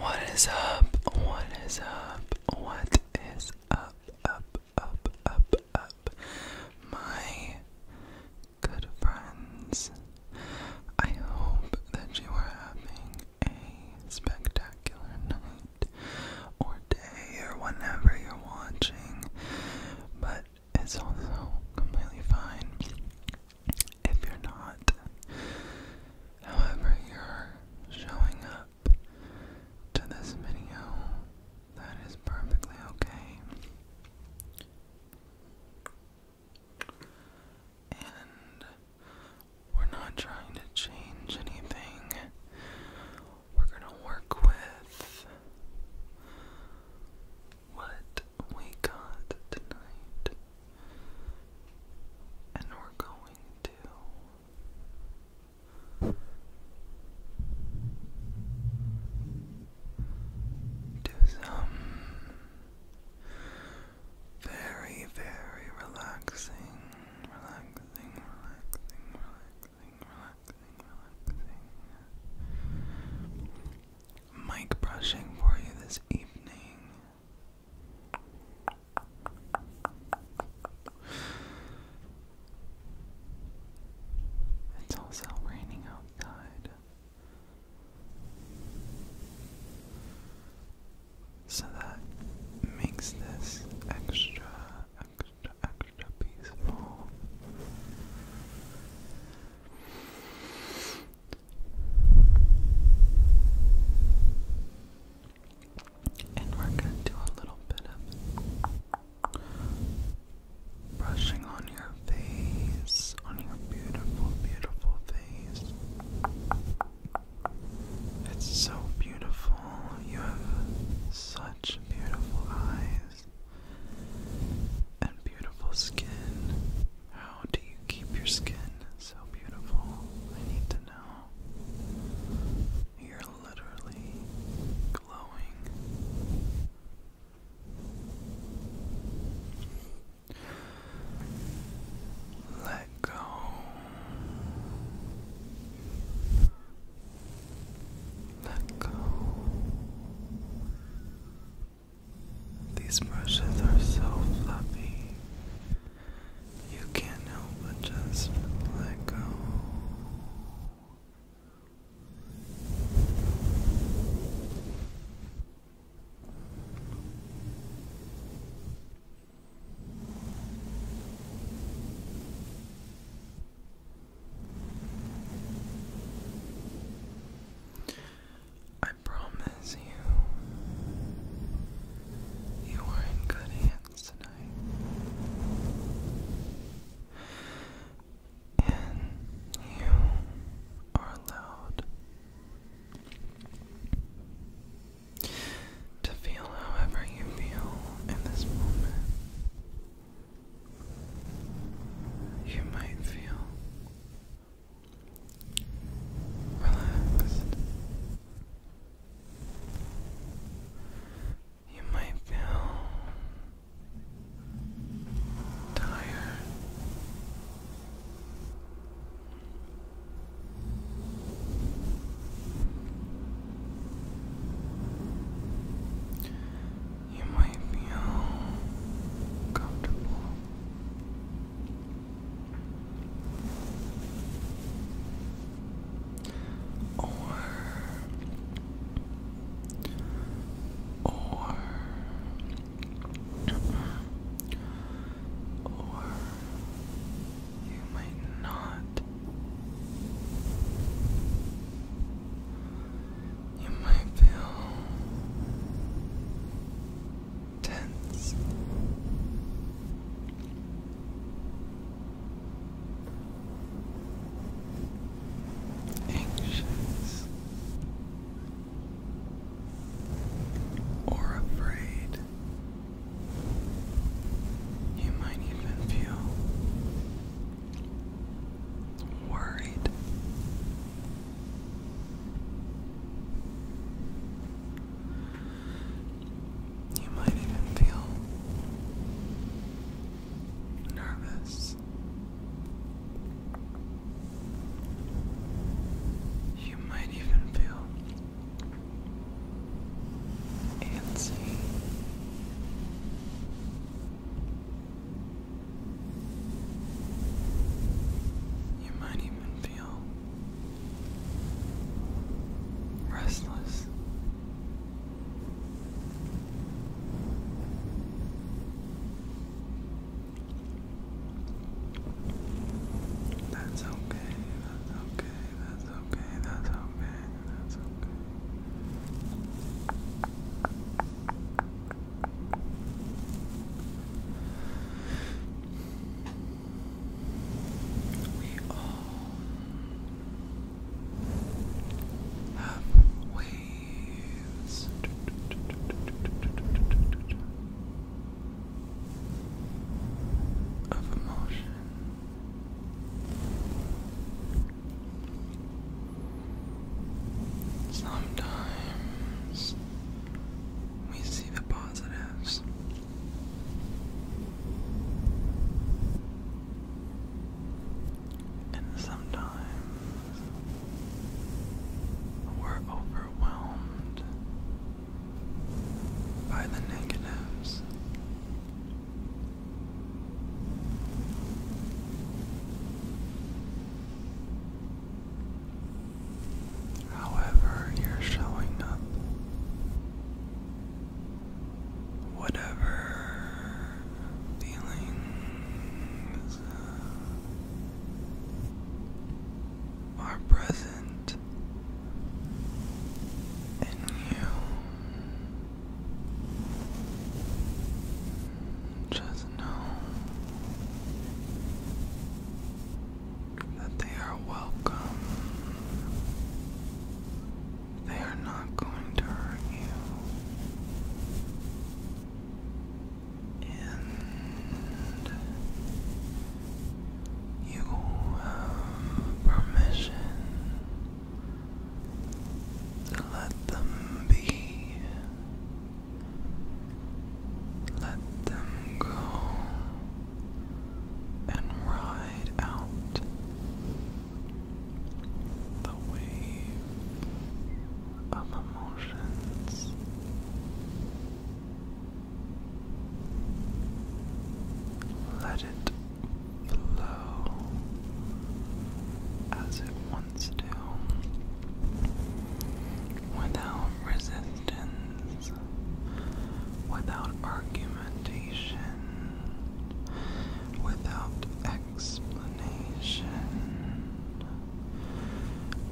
What is up? What is up? What is up? Up, up, up, up. My good friends, I hope that you are having a spectacular night or day or whenever you're watching, but it's also completely fine if you're not, however, you're showing up to this video, that is perfectly okay. And we're not trying to change anything. We're going to work with what we got tonight, and we're going to do some very, very relaxing, relaxing, relaxing, relaxing, relaxing, relaxing mic brushing for you this evening. It's also raining outside. So that makes this extra, extra, extra peaceful. And we're going to do a little bit of brushing on your face, on your beautiful, beautiful face. It's so beautiful. You have such beautiful eyes and beautiful skin. How do you keep your skin so beautiful? I need to know. You're literally glowing. Let go. Let go. These brushes are so fluffy. You can't help but just let go. I promise you, you are in good hands tonight. And you are allowed to feel however you feel in this moment. You might feel relaxed. You might feel tired. You might feel comfortable. Or, or, or you might not, you might feel tense. Anxious or afraid. You might even feel worried. You might even feel nervous. You might even feel antsy. You might even feel restless. That's okay, that's okay, that's okay, that's okay, that's okay. We all have waves. Of emotion, sometimes we see the positives, and sometimes we're overwhelmed by the negatives however you're showing up, whatever feelings uh, are present in you. Just know that they are welcome. They are not going to hurt you. And you have permission to let them be. Let them go and ride out the wave of emotions. Let it flow as it wants to without resistance without argumentation, without explanation,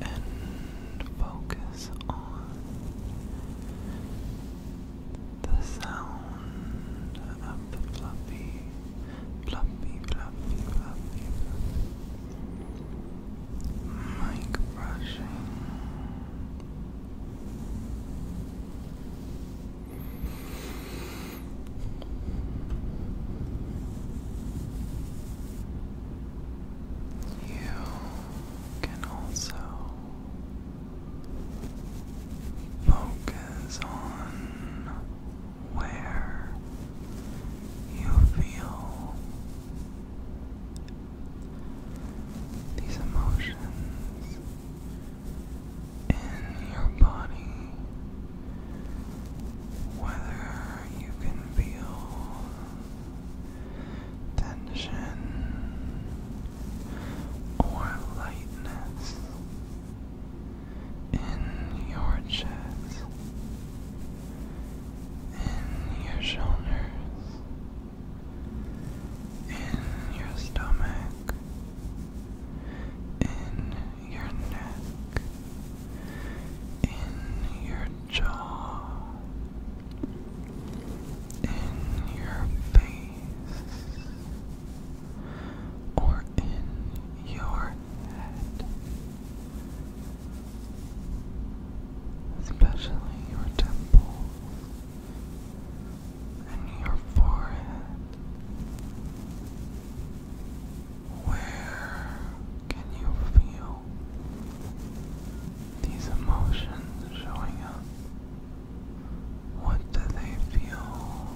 and focus on the sound of the fluffy, fluffy, fluffy, mic brushing. You can also focus on where you feel these emotions in your body, whether you can feel tension or lightness in your chest, in your shoulders in your stomach, in your neck, in your jaw, in your face, or in your head. Especially your temples, and your forehead. Where can you feel these emotions showing up? What do they feel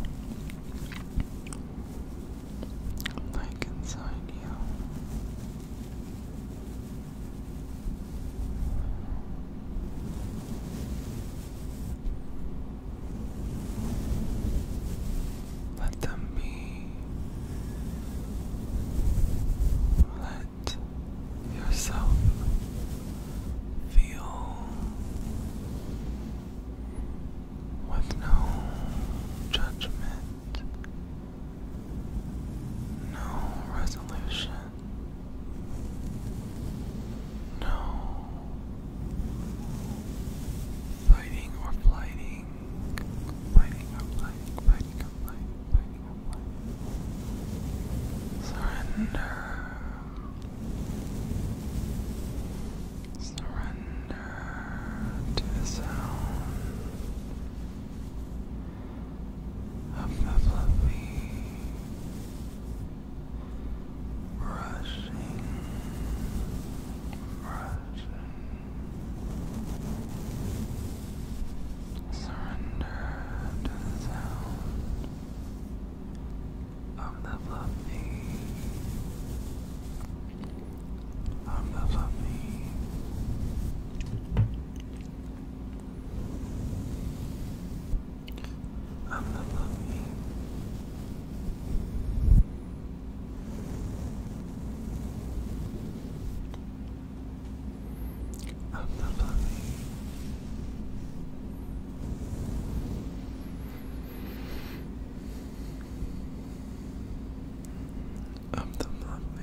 like inside you? Let them be. Let yourself feel with no judgment, no resolution. No. Fighting or flighting. Fighting or flighting. Fighting or flighting. Fighting or flighting. Surrender. Surrender to the sound of the fluffy brushing, brushing. Surrender to the sound of the fluffy, of the fluffy. I'm the puppy. I'm the puppy. I'm the puppy.